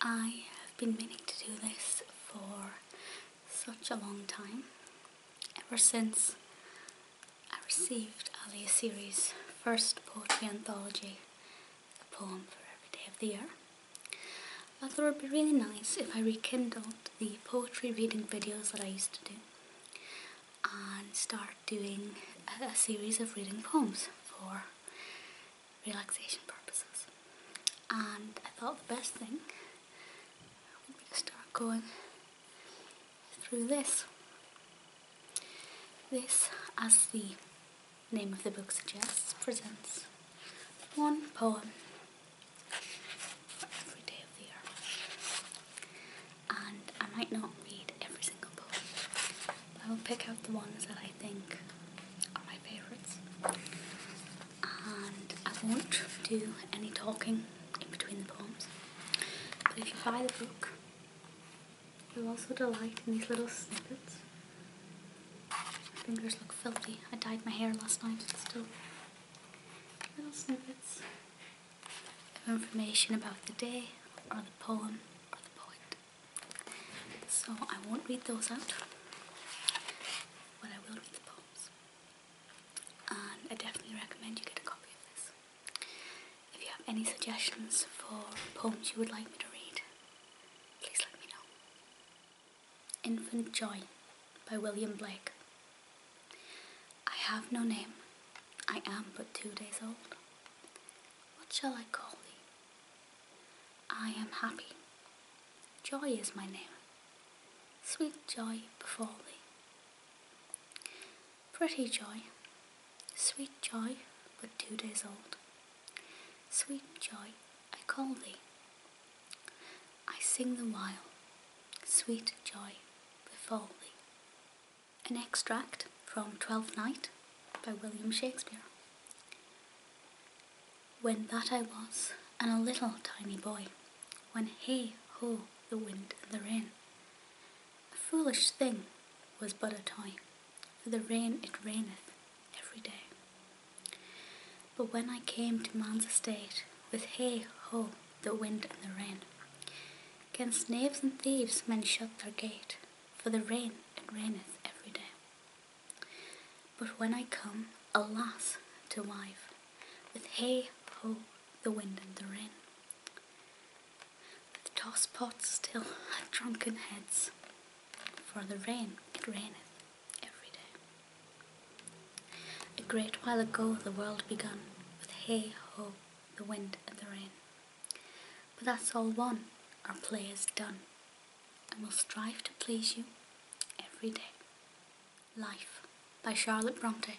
I have been meaning to do this for such a long time, ever since I received Ali Series' first poetry anthology, A Poem for Every Day of the Year. I thought it would be really nice if I rekindled the poetry reading videos that I used to do and start doing a series of reading poems for relaxation purposes. And I thought the best thing would be to start going through this. This, as the name of the book suggests, presents one poem every day of the year. And I might not read every single poem, I will pick out the ones that I think are my favourites. And I won't do any talking in between the poems. But if you buy the book, you'll also delight in these little snippets. My fingers look filthy. I dyed my hair last night, still little snippets of information about the day, or the poem, or the poet. So I won't read those out, but I will read the poems. And I definitely recommend you get a copy of this. If you have any suggestions for poems you would like me to read, please let me know. Infant Joy by William Blake. I have no name, I am but two days old. What shall I call thee? I am happy. Joy is my name. Sweet joy before thee. Pretty joy, sweet joy, but two days old. Sweet joy, I call thee. I sing the while, sweet joy before thee. An extract from Twelfth Night by William Shakespeare. When that I was, and a little tiny boy, when hey ho the wind and the rain, a foolish thing was but a toy, for the rain it raineth every day. But when I came to man's estate, with hey ho the wind and the rain, 'gainst knaves and thieves men shut their gate, for the rain, it raineth every day. But when I come, alas, to wife, with hey ho, the wind and the rain, with toss pots still at drunken heads, for the rain, it raineth every day. A great while ago the world begun, with hey ho, the wind and the rain. But that's all one, our play is done, and we'll strive to please you every day. Life by Charlotte Bronte.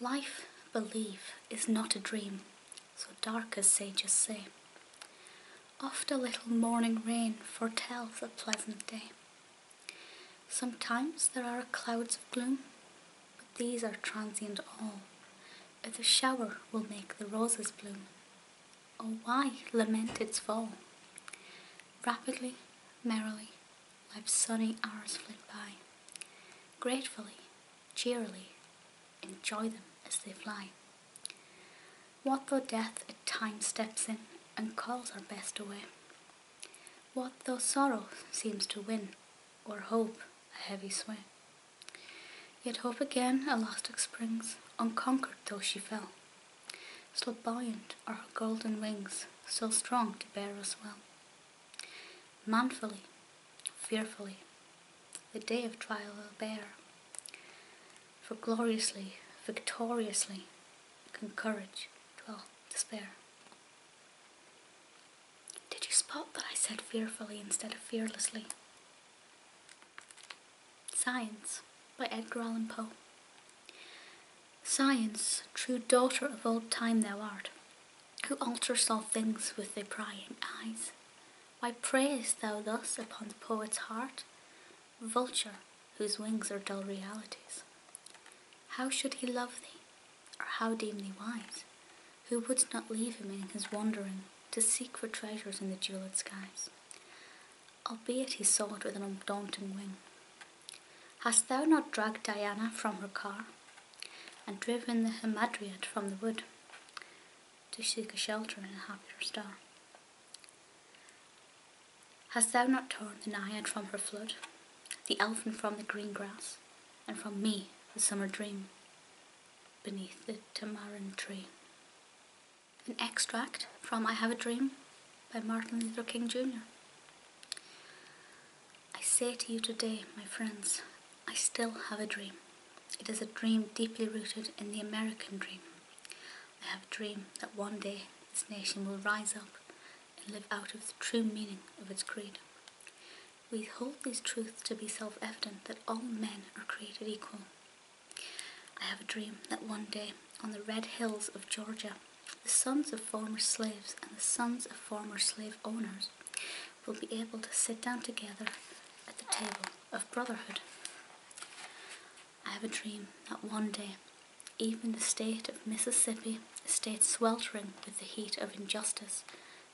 Life, believe, is not a dream, so dark as sages say. Oft a little morning rain foretells a pleasant day. Sometimes there are clouds of gloom, but these are transient all. If The shower will make the roses bloom. Oh, why lament its fall? Rapidly, merrily, life's sunny hours flit by. Gratefully, cheerily, enjoy them as they fly. What though death at times steps in and calls our best away? What though sorrow seems to win or hope a heavy swing. Yet hope again elastic springs, unconquered though she fell, still buoyant are her golden wings, still strong to bear us well. Manfully, fearfully, the day of trial will bear, for gloriously, victoriously, can courage dwell despair. Did you spot that I said fearfully instead of fearlessly? Science by Edgar Allan Poe. Science, true daughter of old time thou art, who alters all things with thy prying eyes. Why preyest thou thus upon the poet's heart, vulture whose wings are dull realities? How should he love thee, or how deem thee wise, who wouldst not leave him in his wandering to seek for treasures in the jewelled skies? Albeit he sought with an undaunting wing. Hast thou not dragged Diana from her car, and driven the Hamadryad from the wood, to seek a shelter in a happier star? Hast thou not torn the Naiad from her flood? the elfin from the green grass, and from me the summer dream beneath the tamarind tree. An extract from I Have a Dream by Martin Luther King Jr. I say to you today, my friends, I still have a dream. It is a dream deeply rooted in the American dream. I have a dream that one day this nation will rise up and live out of the true meaning of its creed. We hold these truths to be self evident that all men are created equal. I have a dream that one day, on the red hills of Georgia, the sons of former slaves and the sons of former slave owners will be able to sit down together at the table of brotherhood. I have a dream that one day even the state of Mississippi, a state sweltering with the heat of injustice,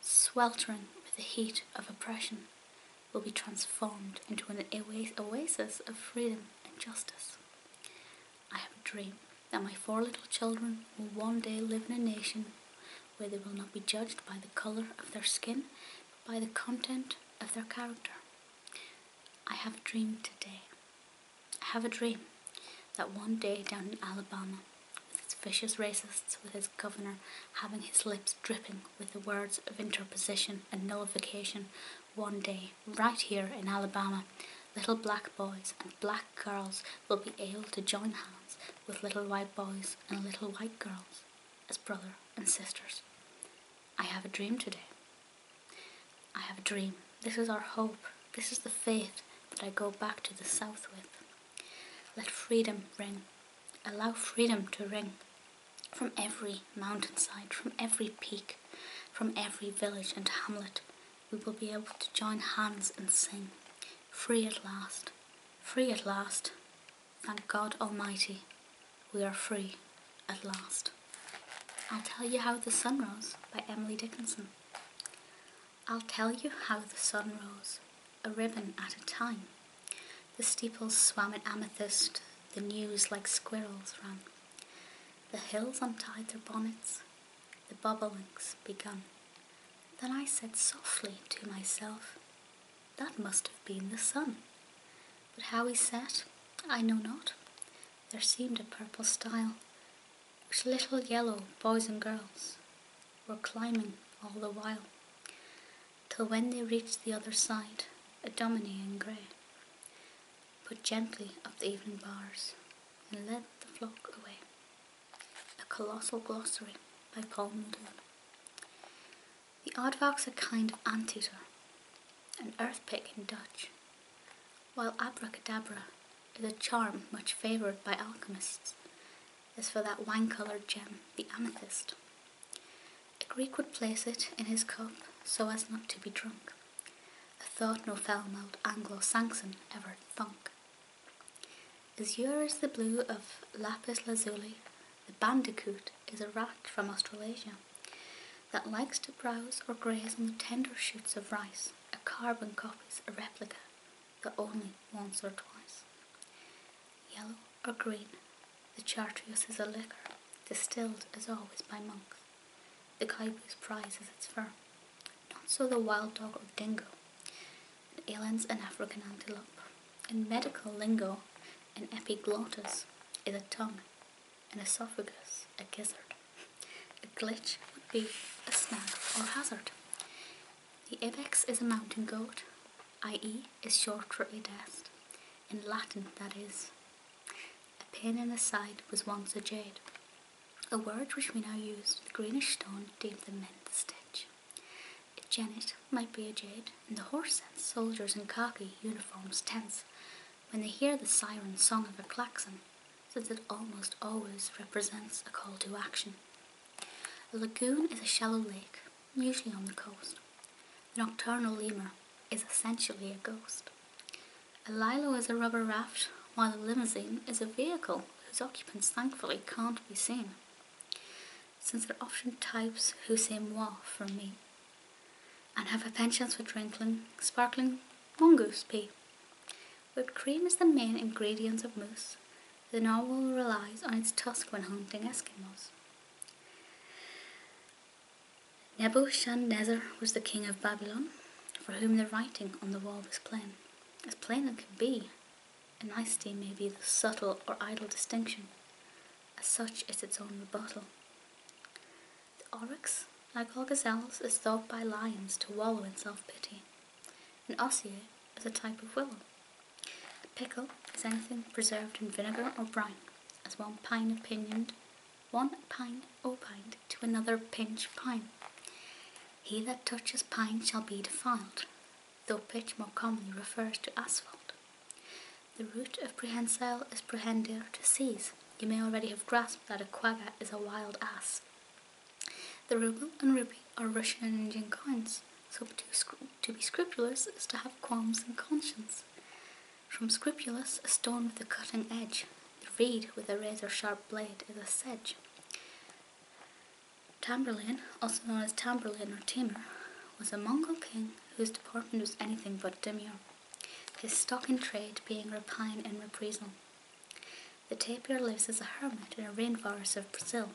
sweltering with the heat of oppression, will be transformed into an oasis of freedom and justice. I have a dream that my four little children will one day live in a nation where they will not be judged by the colour of their skin, but by the content of their character. I have a dream today I Have a dream that one day down in Alabama, with its vicious racists, with its governor having his lips dripping with the words of interposition and nullification, one day, right here in Alabama, little black boys and black girls will be able to join hands with little white boys and little white girls as brothers and sisters. I have a dream today. I have a dream. This is our hope. This is the faith that I go back to the south with. Let freedom ring. Allow freedom to ring from every mountainside, from every peak, from every village and hamlet. We will be able to join hands and sing. Free at last. Free at last. Thank God Almighty, we are free. At last, I'll tell you how the sun rose by Emily Dickinson. I'll tell you how the sun rose, a ribbon at a time. The steeples swam in amethyst, the news like squirrels ran. The hills untied their bonnets, the bobolinks begun. Then I said softly to myself, that must have been the sun. But how he set, I know not there seemed a purple stile, which little yellow boys and girls were climbing all the while, till when they reached the other side, a dominie in grey put gently up the evening bars and led the flock away. A colossal glossary by Paul Muldoon. The Aardvark's a kind of anteater, an earth in Dutch, while abracadabra is a charm much favoured by alchemists, as for that wine-coloured gem, the amethyst. A Greek would place it in his cup so as not to be drunk, a thought no fell mouthed Anglo-Saxon ever thunk. Azure is the blue of lapis lazuli, the bandicoot is a rat from Australasia that likes to browse or graze on the tender shoots of rice. A carbon copy, a replica, but only once or twice. Yellow or green, the chartreuse is a liquor, distilled as always by monks. The cowboy's prize is its fur. Not so the wild dog or dingo, it aliens an African antelope. In medical lingo, an epiglottis is a tongue, an esophagus, a gizzard. A glitch would be a snag or hazard. The ibex is a mountain goat, i.e. is short for a In Latin, that is. A pin in the side was once a jade, a word which we now use The greenish stone deemed the mint stitch. A jennet might be a jade, and the horse sense, soldiers in khaki uniforms, tents, when they hear the siren song of a klaxon, since it almost always represents a call to action. A lagoon is a shallow lake, usually on the coast. The nocturnal lemur is essentially a ghost. A lilo is a rubber raft, while a limousine is a vehicle whose occupants thankfully can't be seen, since they're often types who say more from me and have a penchant for drinking sparkling mongoose pee. Whipped cream is the main ingredient of mousse. The narwhal relies on its tusk when hunting Eskimos. Nebuchadnezzar was the king of Babylon, for whom the writing on the wall was plain, as plain as can be. A nicety may be the subtle or idle distinction, as such is its own rebuttal. The oryx, like all gazelles, is thought by lions to wallow in self-pity. An osier is a type of willow. A Pickle is anything preserved in vinegar or brine, as one pine opinioned, one pine opined to another pinch pine. He that touches pine shall be defiled, though pitch more commonly refers to asphalt. The root of prehensile is prehender, to seize. You may already have grasped that a quagga is a wild ass. The ruble and rupee are Russian and Indian coins, so to, be scrupulous is to have qualms and conscience. From scrupulous, a stone with a cutting edge, the reed with a razor-sharp blade is a sedge. Tamburlaine, also known as Tamburlaine or Timur, was a Mongol king whose deportment was anything but demure, his stock in trade being rapine and reprisal. The tapir lives as a hermit in a rainforest of Brazil,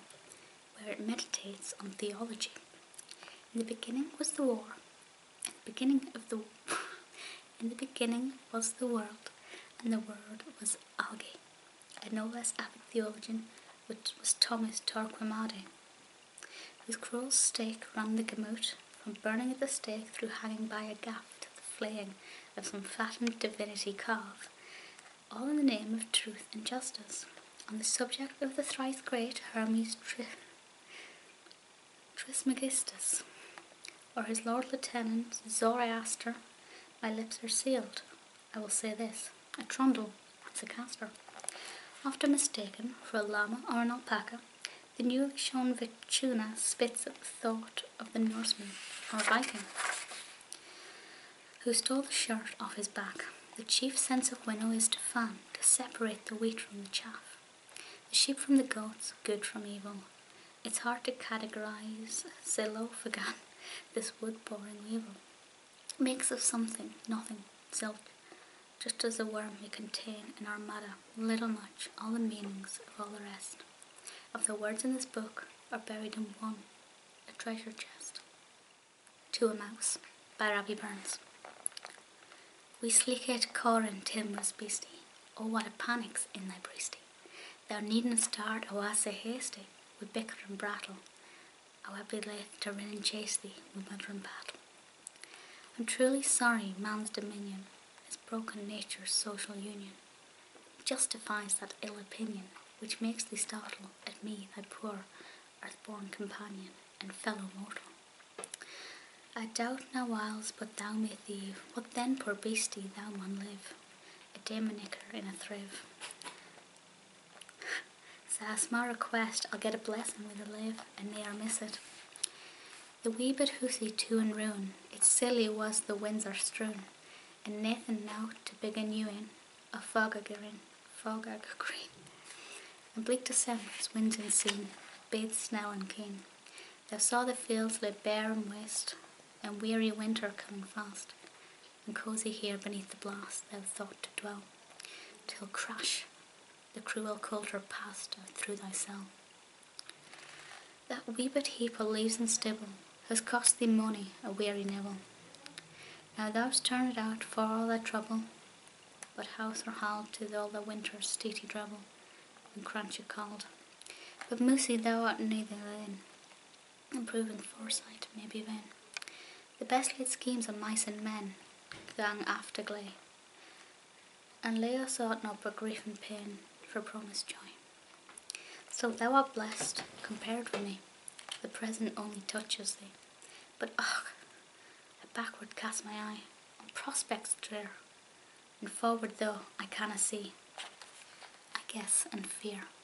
where it meditates on theology. In the beginning was the war. In the beginning of the in the beginning was the world, and the world was Alge, A no less avid theologian was Thomas Torquemada, his cruel stake ran the gamut from burning at the stake through hanging by a gaff to the flaying of some fattened divinity calf, all in the name of truth and justice. On the subject of the thrice great Hermes Trismegistus, or his Lord Lieutenant Zoroaster, my lips are sealed. I will say this a trundle, it's a castor. Often mistaken for a llama or an alpaca, the newly shown Vichuna spits at the thought of the Norseman or Viking, who stole the shirt off his back. The chief sense of winnow is to fan, to separate the wheat from the chaff, the sheep from the goats, good from evil. It's hard to categorize Zilophagan, this wood-boring evil makes of something, nothing, zilch, just as a worm may contain in our matter little much, all the meanings of all the rest of the words in this book are buried in one, a treasure chest. To a Mouse by Robbie Burns. We sleekit corin timorous beastie, oh what a panic's in thy breastie. Thou needn't start, oh I say hasty, we bicker and brattle, I will be left to run and chase thee with my trumpet. I'm truly sorry man's dominion has broken nature's social union, justifies that ill opinion which makes thee startle at me, thy poor earth-born companion and fellow mortal. I doubt now whiles but thou may thieve, what then, poor beastie, thou mun live, a day and a thrive so that's my request. I'll get a blessing with a live and ne'er miss it. The wee bit hoosie to and roon, It's silly was the winds are strewn, and naething now to big and ewing, a fog a green, fog green. And bleak December's wind and scene, bathed snow and keen. They saw the fields lay bare and waste, and weary winter coming fast and cosy here beneath the blast thou thought to dwell, till crash the cruel coulter passed out through thy cell. That wee heap o' leaves and stubble has cost thee money a weary nibble. Now thou'st turned out for all thy trouble, but house or hall to all the winter's steety drabble and crunchy cold. But Moosey, thou art neither then, improving foresight, may be vain; The best laid schemes on mice and men gang after Glee, and Leo sought not but grief and pain for promised joy. So thou art blest compared with me, the present only touches thee. But ugh, I backward cast my eye on prospects drear, and forward though I canna see, I guess and fear.